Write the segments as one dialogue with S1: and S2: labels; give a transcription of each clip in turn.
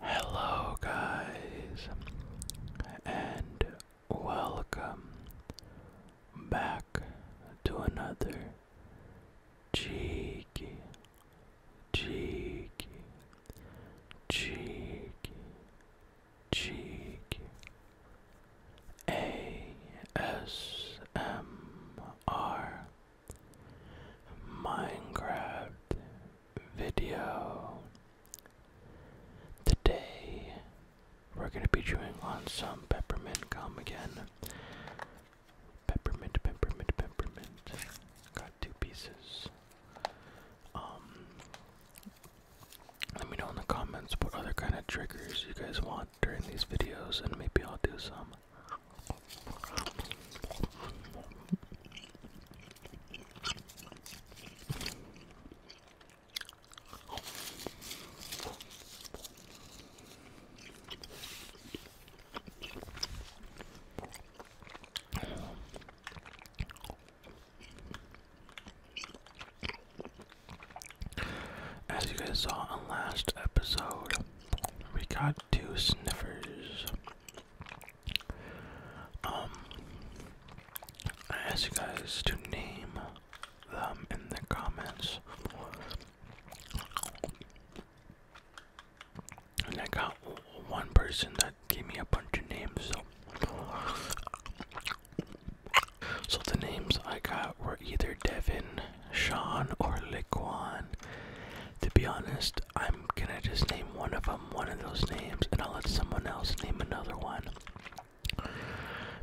S1: Hello, guys, and welcome back to another cheeky, cheeky, cheeky, cheeky ASMR Minecraft video. Today we're gonna be chewing on some peppermint gum again. Peppermint, peppermint, peppermint. Got two pieces. Um let me know in the comments what other kind of triggers you guys want during these videos and maybe I'll do some. As you guys saw on last episode, we got two sniffers. Um, I asked you guys to name them in the comments, and I got one person that gave me a bunch of names. So, so the names I got were either Devin, Sean, or Liquan. To be honest, I'm gonna just name one of them one of those names, and I'll let someone else name another one.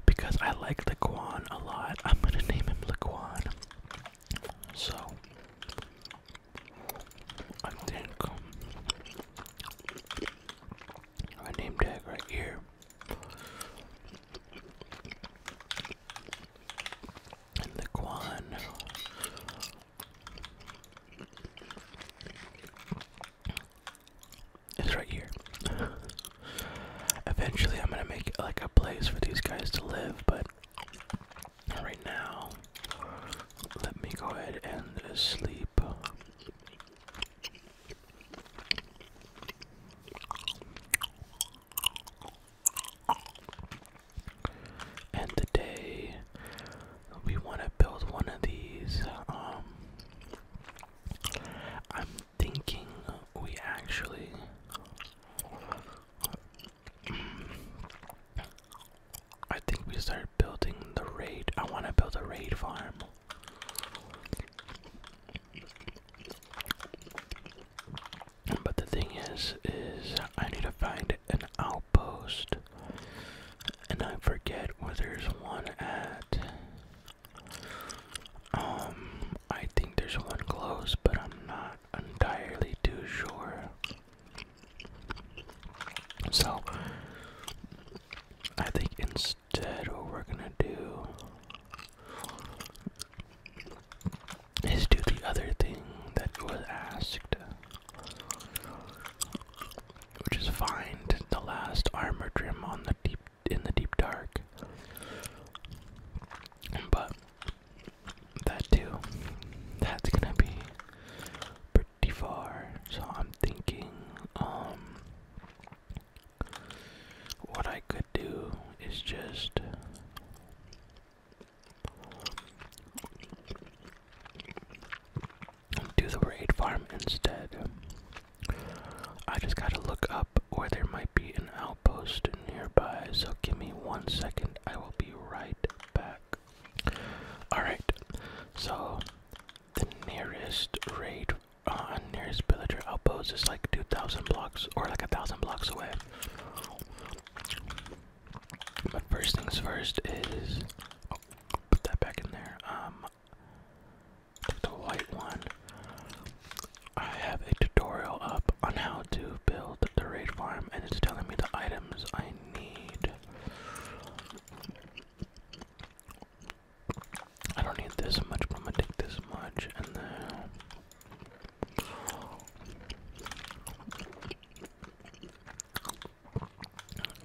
S1: Because I like Laquan a lot, I'm gonna name him Laquan. So, I am think my um, name tag right here and the Quan. It's right here. Eventually, I'm gonna make like a place for these guys to live, but right now, let me go ahead and sleep. And today we want to build one of these. Um, I'm thinking we actually. I think we start building the raid. I want to build a raid farm. But the thing is, is I need to find an Post, And I forget where there's one at. Um, I think there's one close, but I'm not entirely too sure. So, I think instead, what we're gonna do is do the other thing that was asked. Which is find the last armor trim on the deep in the deep dark. But that too, that's gonna be pretty far. So I'm thinking, um, what I could do is just do the raid farm instead. I just gotta look up where there might be an outpost nearby, so give me one second. I will be right back. Alright, so the nearest raid, uh, nearest villager outpost is like 2,000 blocks or like a thousand blocks away. But first things first is oh, put that back in there. Um, the white one. I have a tutorial up on how to build the raid farm, and it's telling me the items I need. I don't need this much, I'm gonna take this much, and then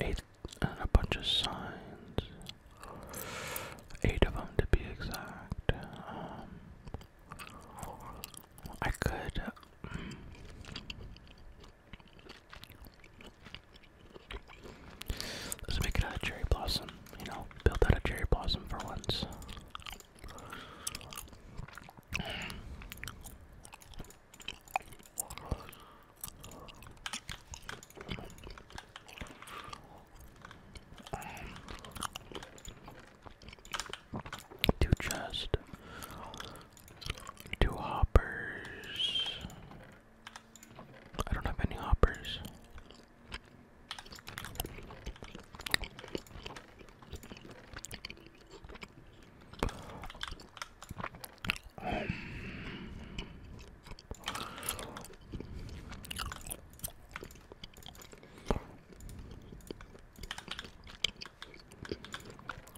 S1: Eight and a bunch of signs. Eight of them to be exact. Um, I could. Uh, let's make it out of cherry blossom, you know, build out of cherry blossom for once. Two chest, two hoppers. I don't have any hoppers. Um,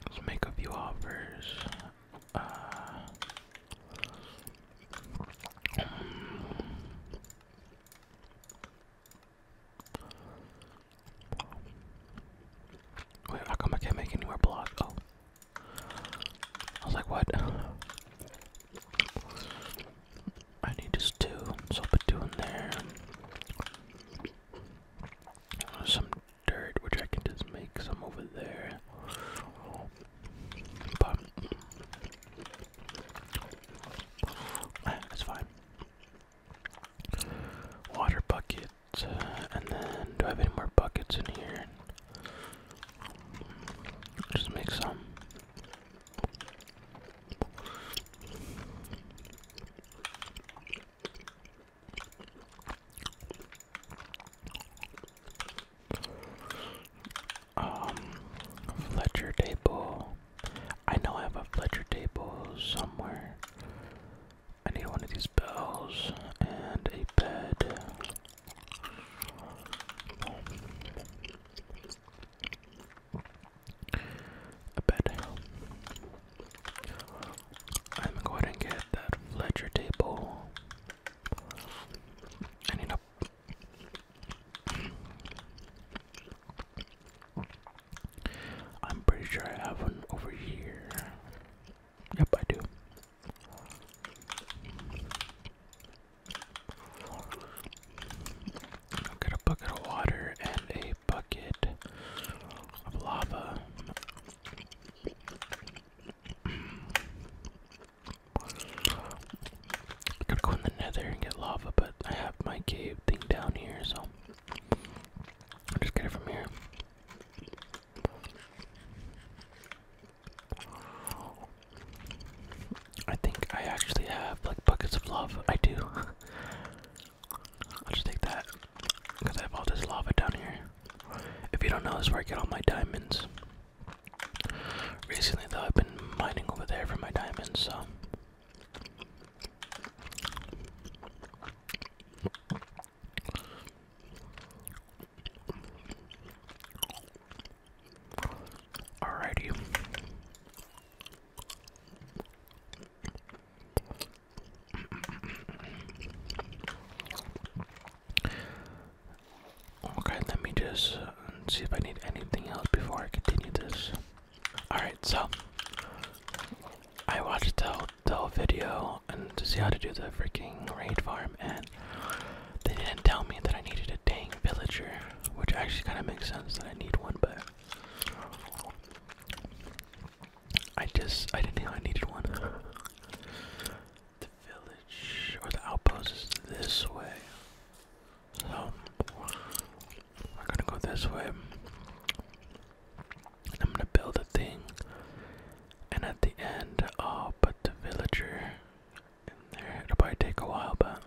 S1: let's make a few offers. Uh, Wait, how come I can't make any more Oh. I was like, what? I need just two, so put two in there. Some dirt, which I can just make some over there. But. That's ah, fine. Water bucket, uh, and then do I have any more buckets in here? Just make some. Um, Fletcher table. I know I have a Fletcher table somewhere. I need one of these bells and a bed. A bed. I'm gonna get that Fletcher table. I need a I'm pretty sure I have one over here. Yep, I do. i a bucket of water and a bucket of lava. I could go in the nether and get lava, but I have my cave thing down here, so I'll just get it from here. I think I actually have like buckets of lava. I do. I'll just take that because I have all this lava down here. If you don't know, this is where I get all my diamonds. Recently, though, I've been mining over there for my diamonds, so. Alrighty. Okay, let me just uh, see if I need anything else before I continue this. Alright, so I watched the the whole video and to see how to do the freaking raid farm, and they didn't tell me that I needed a dang villager, which actually kind of makes sense that I need one, but I just I didn't know I needed one. The village or the outpost is this way, so we're gonna go this way. I'm gonna build a thing. And at the end, I'll put the villager in there. It'll probably take a while, but.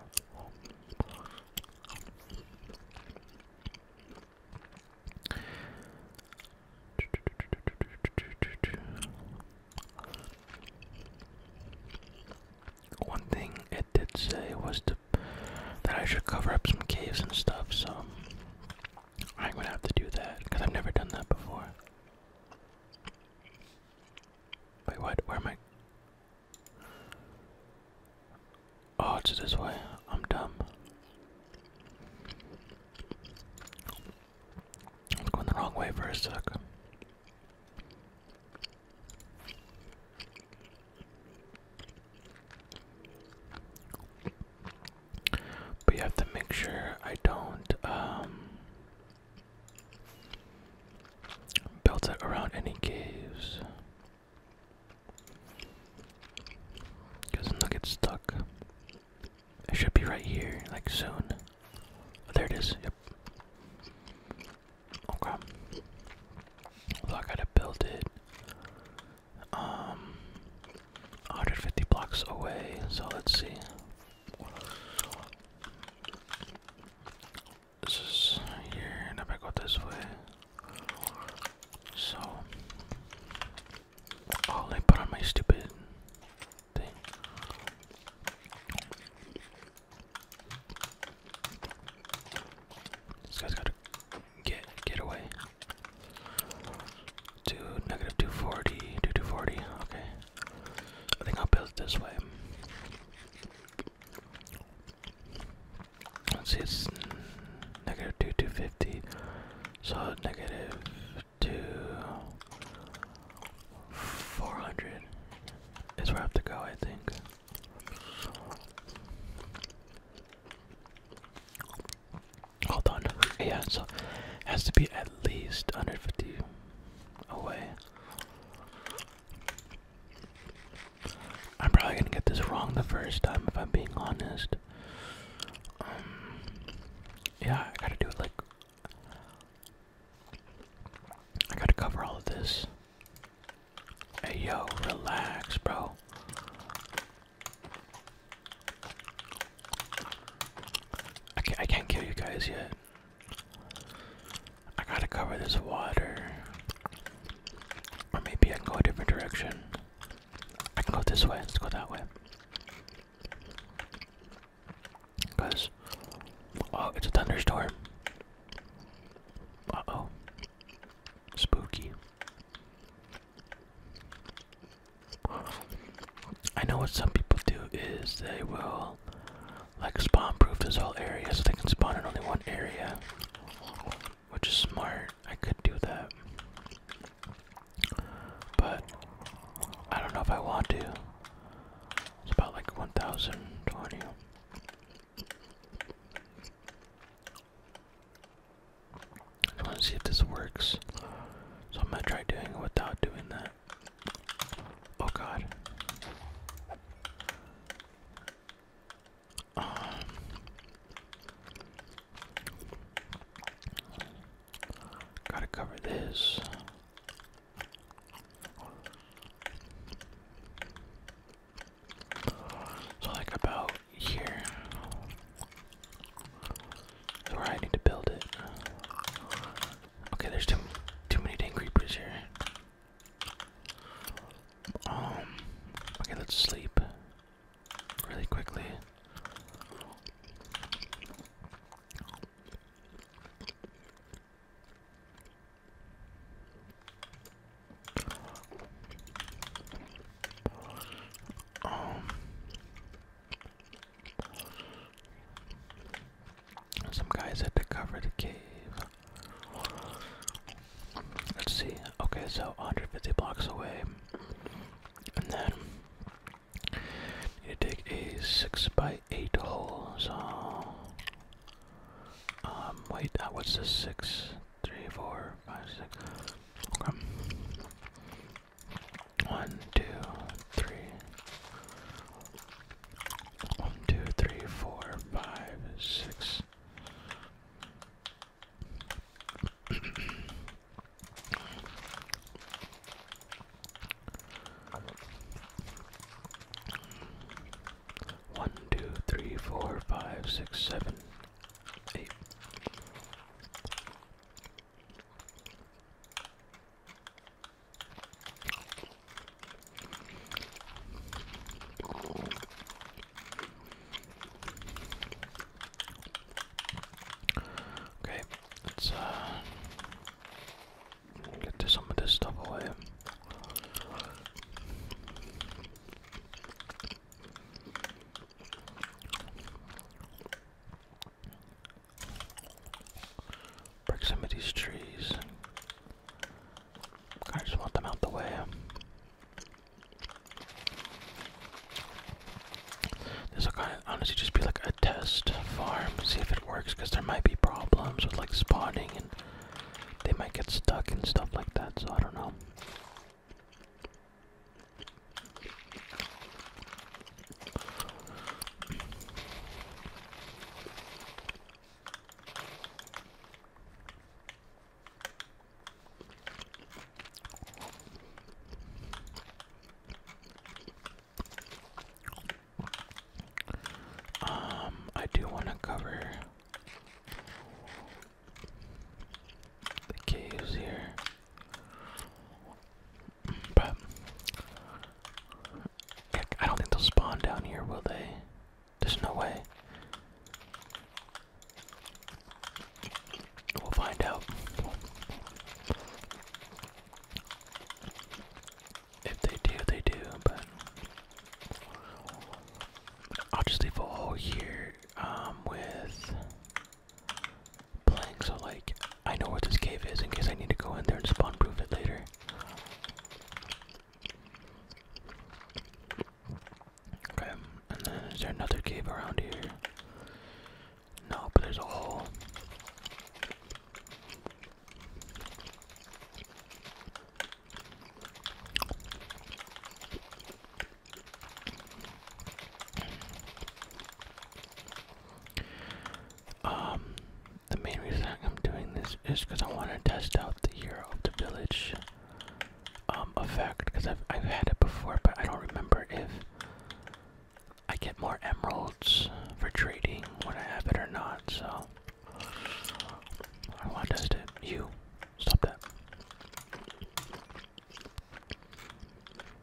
S1: One thing it did say was to, that I should cover up some caves and stuff, so I'm gonna have to do that because I've never done that before. Wait, what? Where am I? Oh, it's this way. I'm dumb. I'm going the wrong way for but you have to make sure I don't um, build it around any caves. Because I'm get stuck. It should be right here, like soon. Oh, there it is, yep. Okay. Well, I gotta build it um 150 blocks away, so let's see. This is here, and if I go this way, so I'll oh, only put on my stupid thing. This guy's got to get get away. Two negative two forty, two two forty. Okay, I think I'll build this way. Let's see, it's negative two two fifty. So negative two four hundred is where I have to go. I think. Hold on. Yeah, so has to be at least 150 away. I'm probably gonna get this wrong the first time if I'm being honest. Um, yeah, I gotta do it like. I gotta cover all of this. Hey yo, relax, bro. I can't, kill you guys yet. I gotta cover this water. Or maybe I can go a different direction. I can go this way, let's go that way. Because, oh, it's a thunderstorm. Uh oh. Spooky. I know what some people do is they will like spawn proof this whole area so they can spawn in only one area. Which is smart. I could do that. But I don't know if I want to. It's about like 1020. I want to see if this works. So I'm going to try doing it without doing that. Oh god. Um, gotta cover this. So like about here. where I need to build it. Okay, there's too too many dang creepers here. Um. Okay, let's sleep really quickly. Um, some guys had to cover the cave. Let's see. Okay, so 150 blocks away. And then you dig a 6 by 8 hole. So, um, wait, uh, what's this 6? three, four, five, six. Okay. One, two, three. One, two, three, four, five, six. One, two, three, four, five, six, seven. Okay, let's uh, get some of this stuff away. Break trees. I just want them out the way. This will kind of honestly just be like a test farm, see if it works, because there might be problems with like spawning and they might get stuck and stuff like that, so I don't know. Um, I do want to cover the caves here. But I don't think they'll spawn down here, will they? There's no way. We'll find out. If they do, they do, but I'll just leave a hole here um, with playing, so like I know where this cave is in case I need to go in there and spawn proof it later. Okay, and then is there another cave around here? No, but there's a hole. Um, the main reason I'm doing this is because I want to test out the Hero of the Village um, effect. Because I've, I've had it before, but I don't remember if I get more emeralds for trading when I have it or not. So I want to test it. You stop that. What Okay.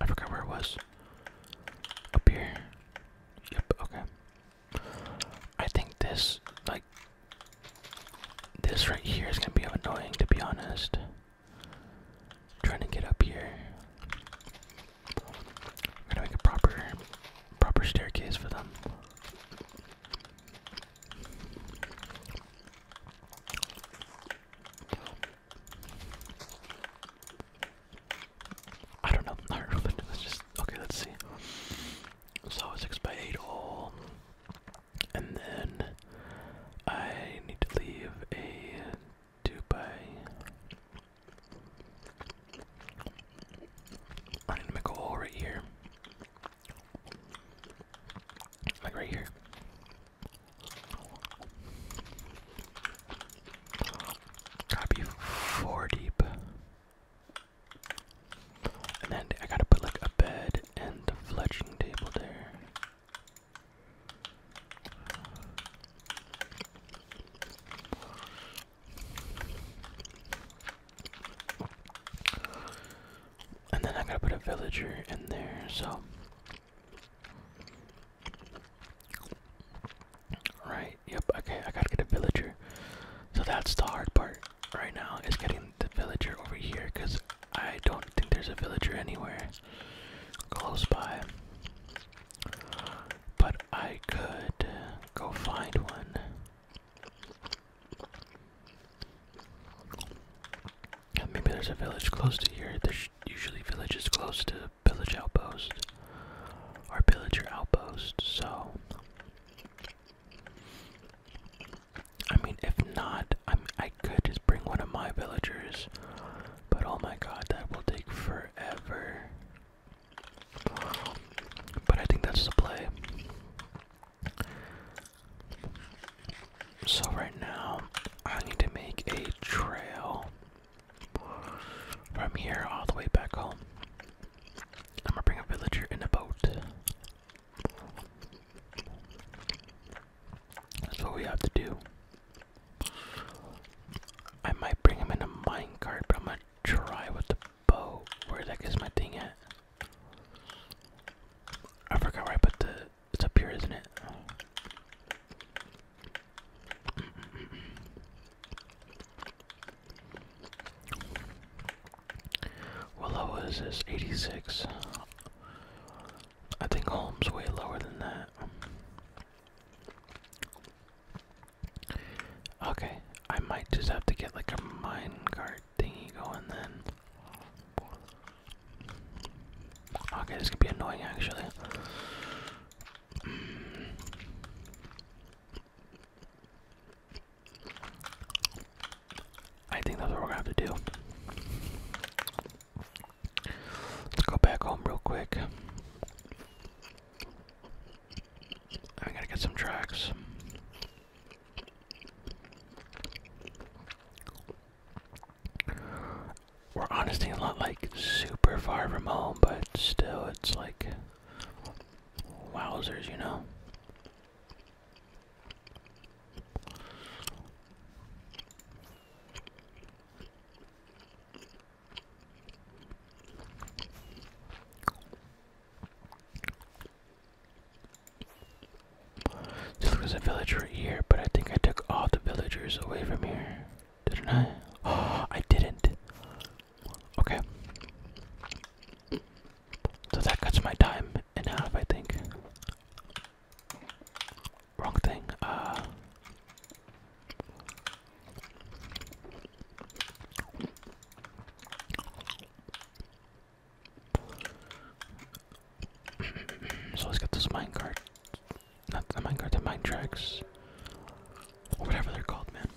S1: I forgot where it was. Up here. Yep, okay. I think this, like, this right here is gonna be annoying to be honest. Trying to get up here. We're gonna make a proper, proper staircase for them. I don't know. Let's just okay. Let's see. So six by eight hole, and then I need to leave a two by. I need to make a hole right here, like right here. Gotta be four deep. And then I gotta put like a bed and a fletching table there. And then I gotta put a villager in there, so Right, yep, okay, I gotta get a villager. So that's the hard part right now, is getting the villager over here, because I don't think there's a villager anywhere close by. But I could go find one. maybe there's a village close to here. There's usually villages close to village outpost or villager outpost, so I mean, if not, I I could just bring one of my villagers, but oh my god, that will take forever. But I think that's the play. So right now, I need to make a trail from here all the way back home. I'm gonna bring a villager in a boat. That's what we have to do. I might bring him in a minecart, but I'm gonna try with the bow. Where the heck is my thing at? I forgot where I put the. It's up here, isn't it? What level is this? 86. I think Holmes way lower than that. Okay, I might just have to get like a mine card thingy going then. Okay, this could be annoying actually. I think that's what we're gonna have to do. Let's go back home real quick. I gotta get some tracks. We're honestly not like super far from home, but still, it's like Wowzers, you know. So there was a villager here, but I think I took all the villagers away from here. Didn't I? I didn't. Okay. So that cuts my time in half, I think. Wrong thing. Uh. so let's get this mine cart. Not the mine cart, the mine tracks. whatever they're called, man.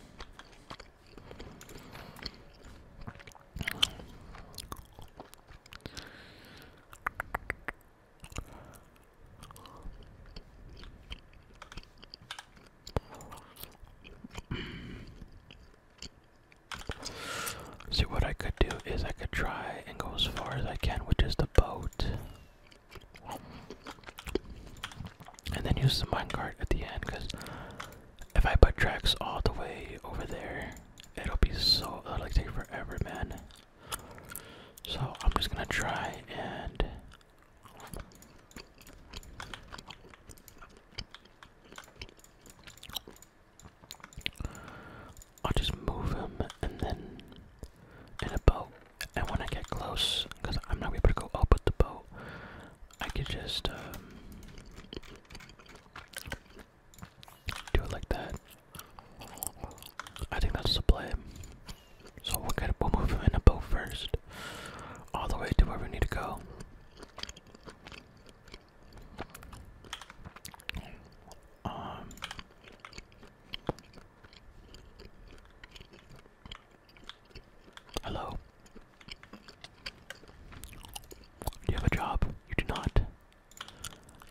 S1: See, what I could do is I could try and go as far as I can, with just the boat. And then use the minecart at the end, because if I put tracks all the way over there, it'll be so it'll take forever, man. So I'm just gonna try and I'll just move him and then in a boat. And when I get close, because I'm not able to go up with the boat, I could just um, do it like that. I think that's the plan. So we'll, get, we'll move him in a boat first, all the way to where we need to go. Um, Hello. Do you have a job? You do not.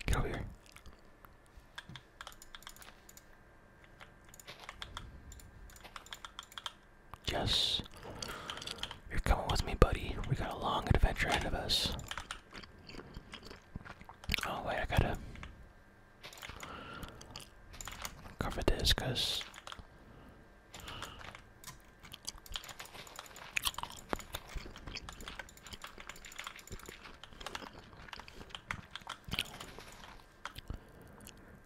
S1: Get over here. Yes. You're coming with me, buddy. We got a long adventure ahead of us. Oh, wait, I gotta cover this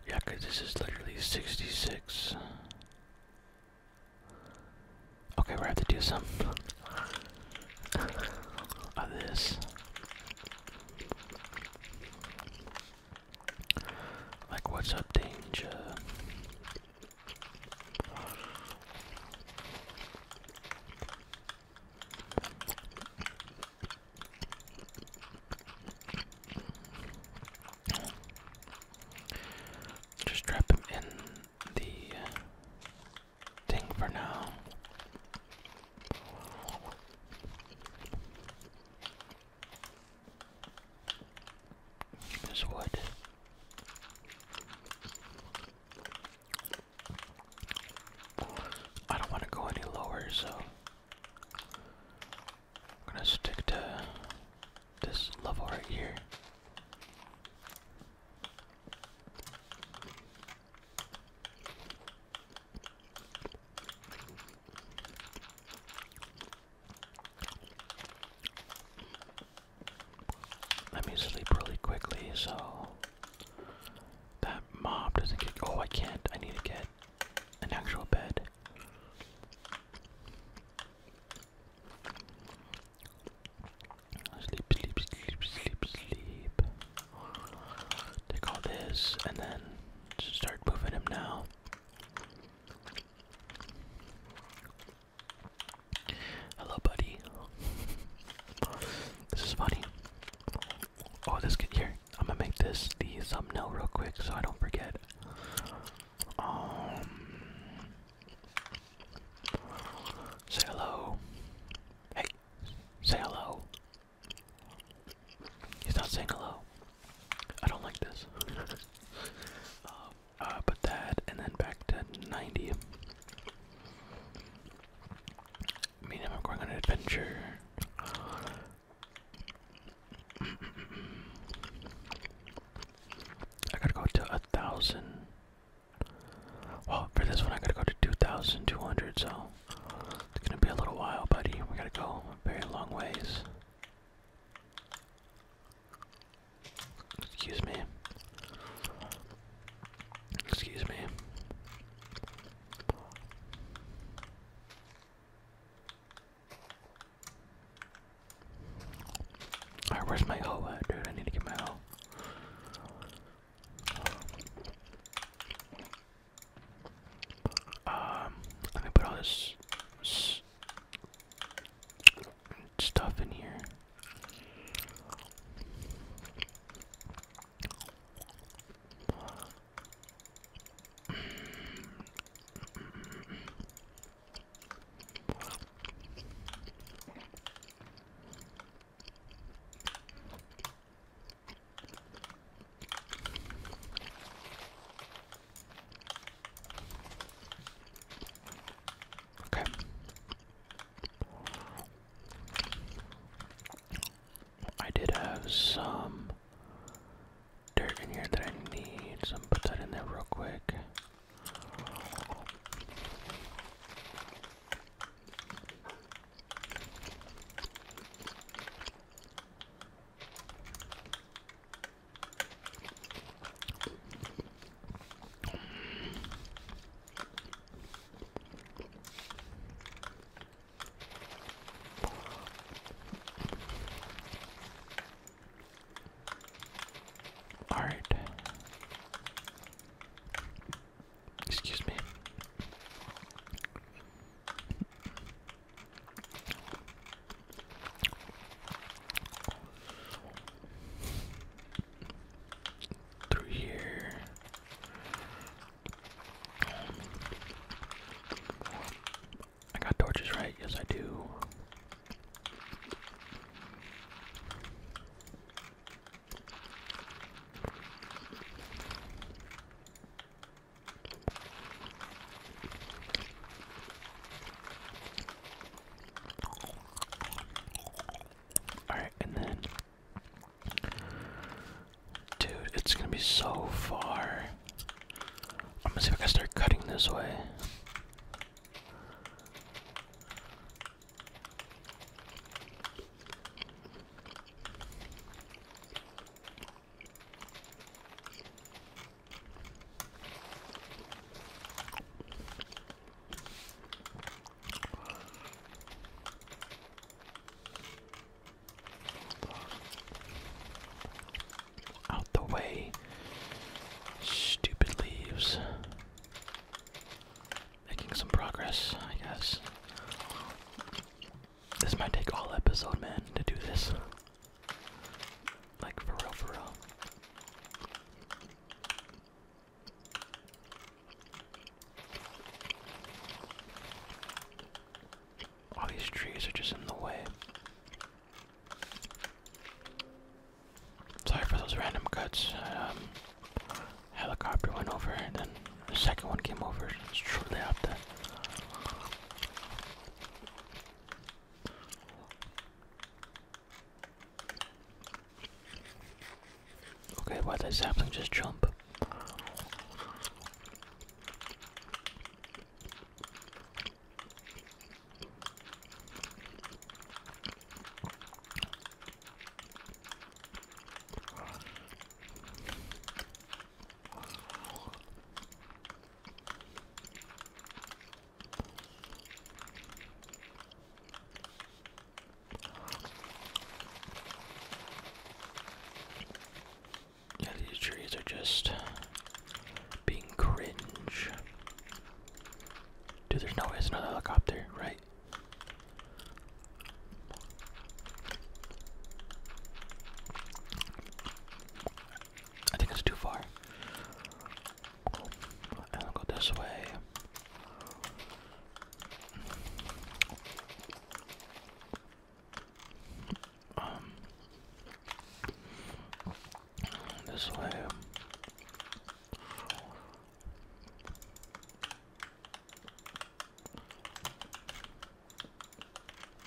S1: yeah, because this is literally 66. Okay, we're gonna have to do some of this. Like, what's up, danger? Just trap him in the uh, thing for now. This wood. I don't want to go any lower, so I'm gonna stick to this level right here. Let me sleep really quickly so that mob doesn't get. Oh, I can't. I need to get an actual bed. Sleep, sleep, sleep, sleep, sleep. Take all this and then start moving him now. Hello, buddy. this is funny. Oh, this get here. I'm gonna make this the thumbnail real quick so I don't forget. Um, say hello. Hey, say hello. He's not saying hello. I don't like this. uh, uh, that, and then back to 90. Me him going on an adventure. I gotta go to a thousand. Well, for this one, I gotta go to 2,200, so it's gonna be a little while, buddy. We gotta go very long ways. Excuse me. Excuse me. where's my hoe dude? I need to get my hoe. Um, let me put all this stuff in here. Okay. I did have some dirt in here that I need, so I'm gonna put that in there real quick. All right. Excuse me. Through here. I got torches, right? Yes, I do. Alright, and then. Dude, it's gonna be so far. I'm gonna see if I can start cutting this way. Out the way, stupid leaves. Making some progress, I guess. This might take all episode, man, to do this. Like, for real, for real. All these trees are just in the way. Sorry for those random cuts. Um, helicopter went over, and then the second one came over It's truly shortly after. Okay, while that's happening, just jump. Yeah, these trees are just being cringe. Dude, there's no way it's another helicopter, right? I think it's too far. I'll go this way. Um, this way.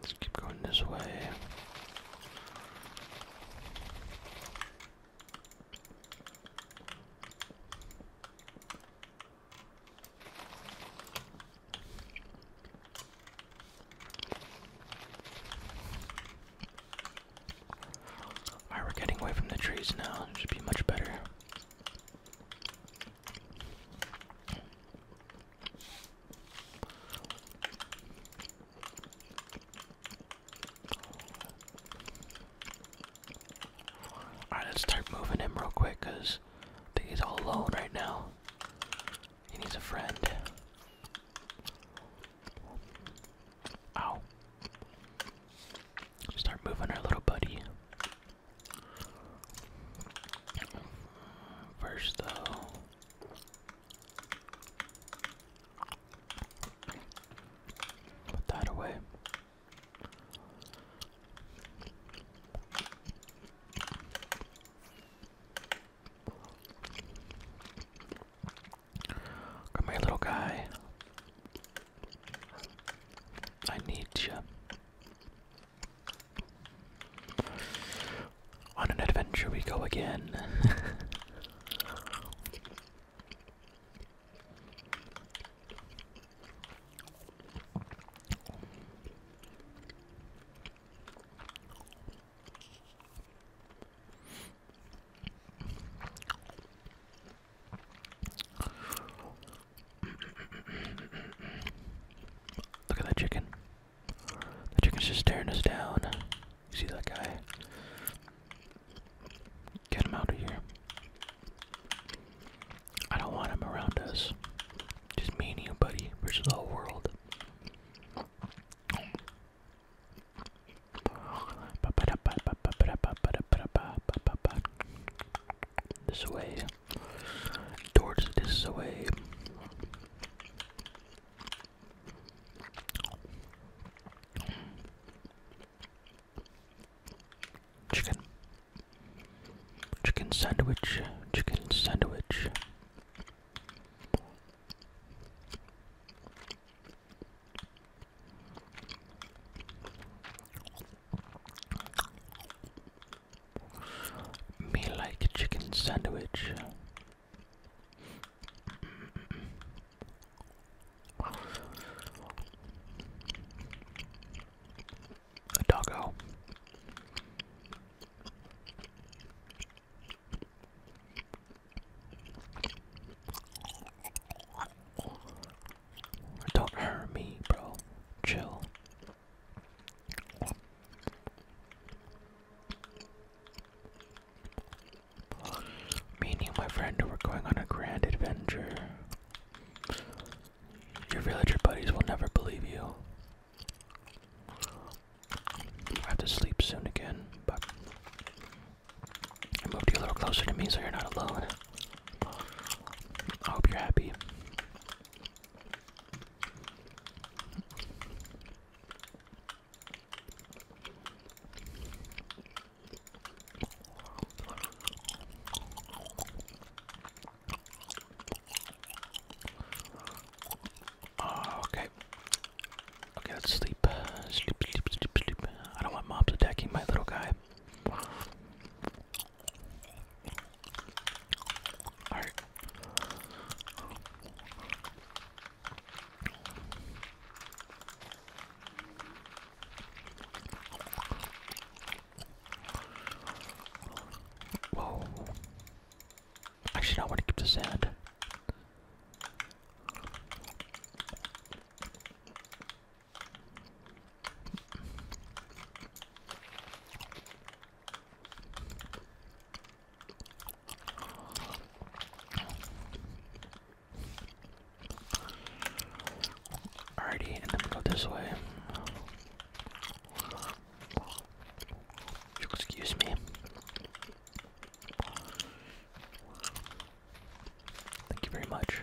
S1: Let's keep going this way. Alright, we're getting away from the trees now. It should be much better. Alright, let's start moving him real quick because he's all alone right now. He needs a friend. Ow. Start moving our little buddy. First, though, put that away. Come here, little guy. I need you. On an adventure we go again. Look at that chicken. The chicken's just staring us down. You see that guy? Get him out of here. I don't want him around us. Just me and you, buddy, versus the whole world. This way. Towards this way. Chicken. Chicken sandwich. Chicken sandwich. Me like chicken sandwich. A doggo. Don't hurt me, bro. Chill. Me and my friend, we going on a grand adventure. Your villager buddies will never believe you. I have to sleep soon again, but I moved you a little closer to me so you're not alone. I hope you're happy. Oh, okay. Okay, let's sleep. Sleep, sleep, sleep, sleep. I don't want mobs attacking my little guy. Alright. Whoa. Actually, I want to keep this sand. Alrighty, and then go this way. Excuse me. Thank you very much.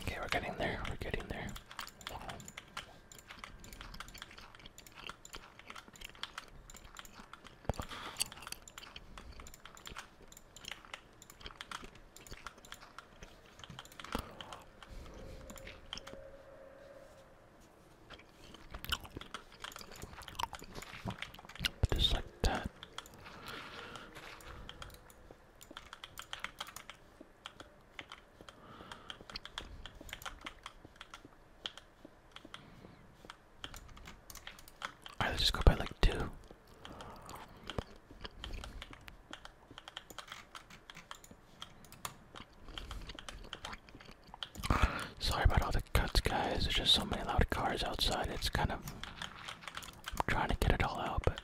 S1: Okay, we're getting there. We're getting there. Just like that. Alright, let just go by like two. Sorry about all the cuts, guys. There's just so many loud cars outside. It's kind of. trying to get it all out, but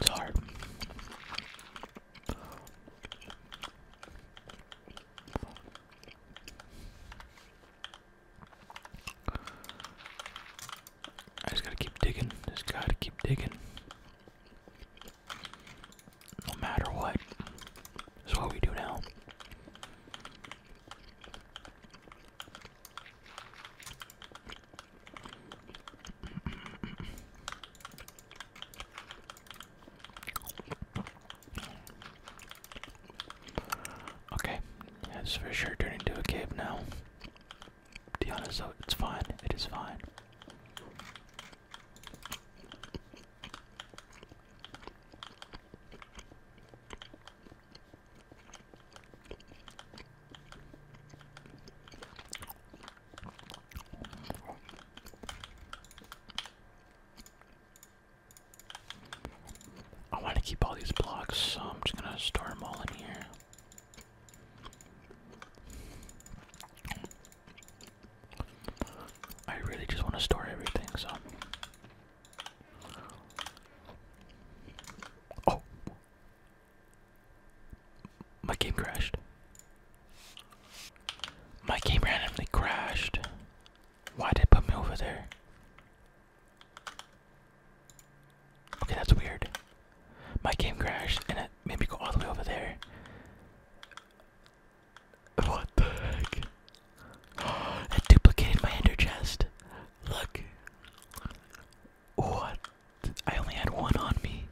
S1: it's hard. I just gotta keep digging. Just gotta keep digging. No matter what. That's what we do now. Okay, it's for sure turning into a cave now. To be though, it's fine. It is fine. I want to keep all these blocks, so I'm just gonna store them all in here. I really just want to store everything, so. Oh! My game crashed. My game randomly crashed. Why did it put me over there? Okay, that's weird. My game crashed and it made me go all the way over there. What the heck? It duplicated my ender Look. What? I only had one on me.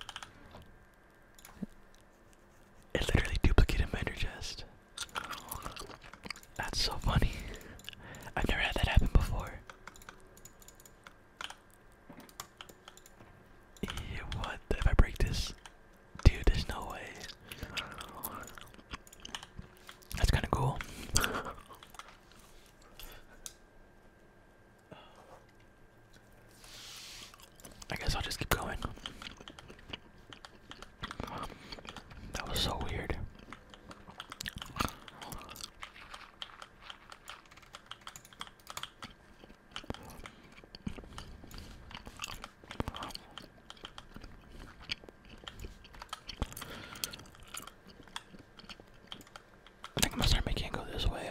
S1: It literally duplicated my chest. That's so funny. I've never had that happen before. what? If I break this? Dude, there's no way. That's kind of cool. I guess I'll just keep going. That was so weird. I think I'm gonna start making go this way.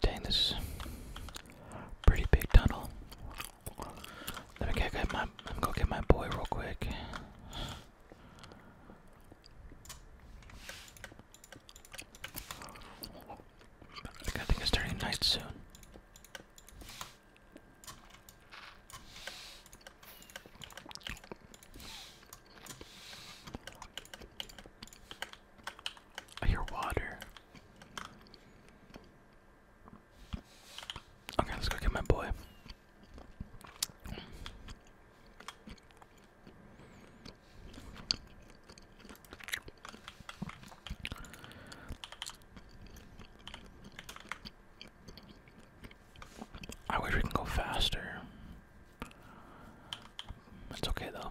S1: Dang, this pretty big tunnel. Let me get, get my let me go get my boy real quick. I think it's turning night soon. I water. Okay, let's go get my boy. I wish we can go faster. It's okay though.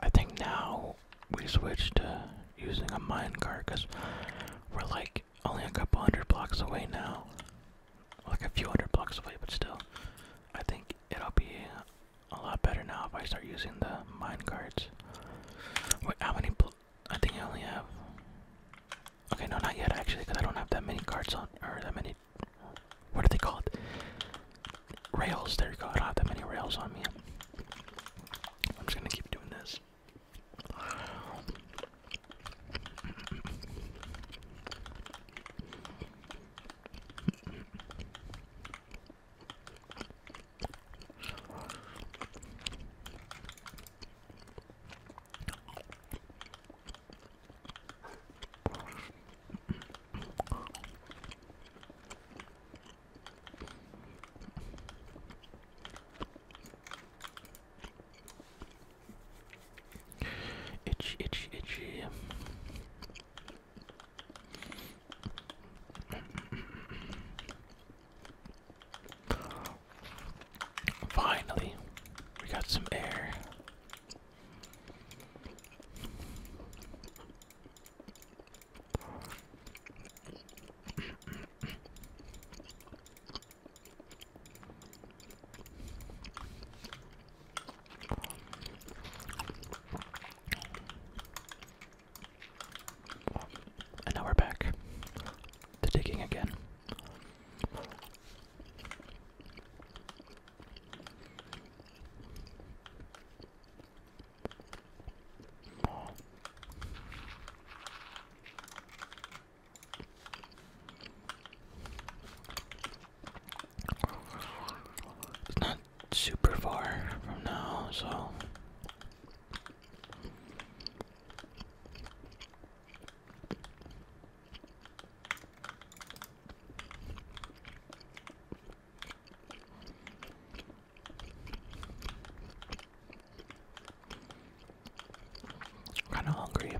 S1: I think now we switch to using a mine cart because we're like only a couple hundred blocks away now. Like a few hundred blocks away, but still. I think it'll be a lot better now if I start using the mine carts. Wait, how many? I think I only have. Okay, no, not yet actually, because I don't have that many cards on, or that many. What are they called? rails. There you go. I don't have that many rails on me. I'm just gonna keep doing this. Itchy, itchy, itchy. Finally, we got some air. And now we're back to digging again. It's not super far from now, so. I'm kind of hungry.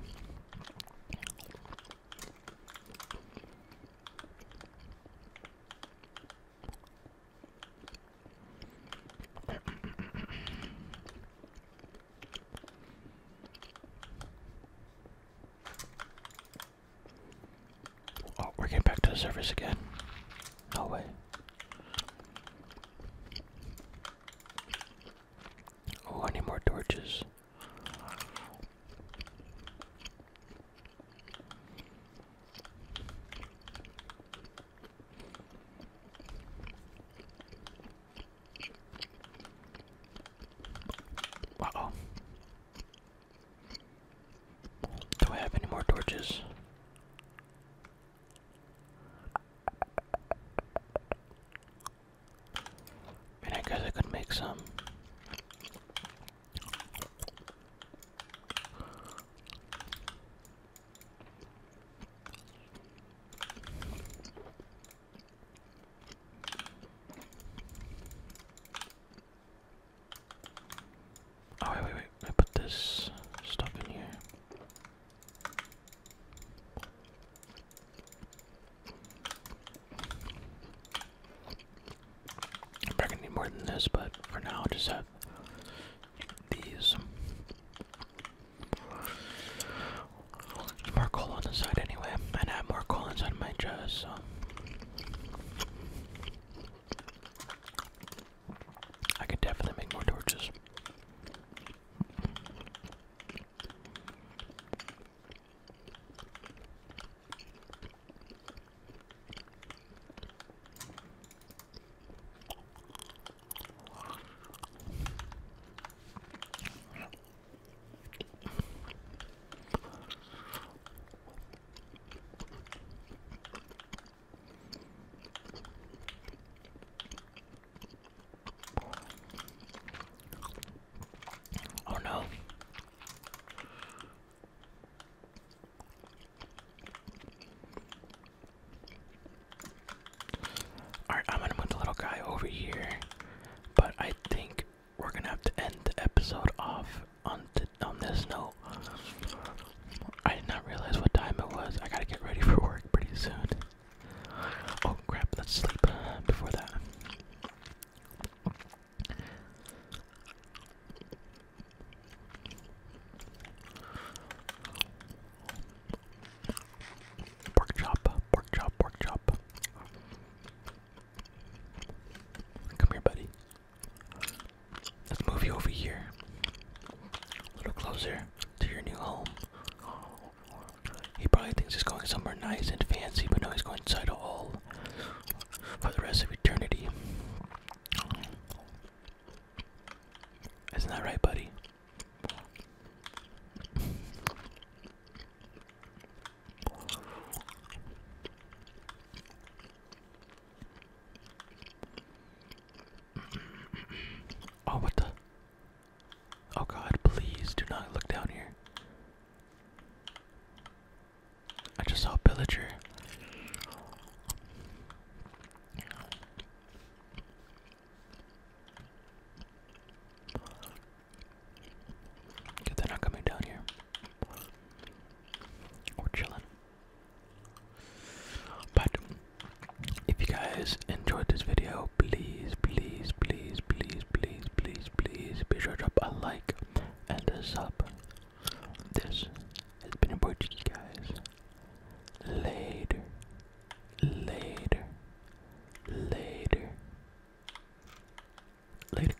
S1: Oh, we're getting back to the surface again. No way. Oh, I need more torches. Uh do I have any more torches? I mean, I guess I could make some. Oh wait, wait, wait. I put this stuff in here. I'm probably gonna need more than this, but for now, just have these. more coal on the side anyway, and I more coal inside my chest, I could definitely make more torches. Oh no. Alright, I'm gonna move the little guy over here, but I think we're gonna have to end the episode off on this note, I did not realize what time it was. I gotta get ready for work pretty soon. Oh crap! Let's sleep uh, before that. Pork chop, pork chop, pork chop. Come here, buddy. Let's move you over here. A little closer to your new home. He probably thinks he's going somewhere nice and fancy, but no, he's going inside a hole for the rest of eternity. Isn't that right, buddy? Oh, what the? Oh god, please do not look down here. I just saw a pillager. Good, they're not coming down here. We're chilling. But if you guys enjoyed this video, please, please, please, please, please, please, please be sure to drop a like and a sub. This has been your boy Cheeky guys. Later, later, later, later.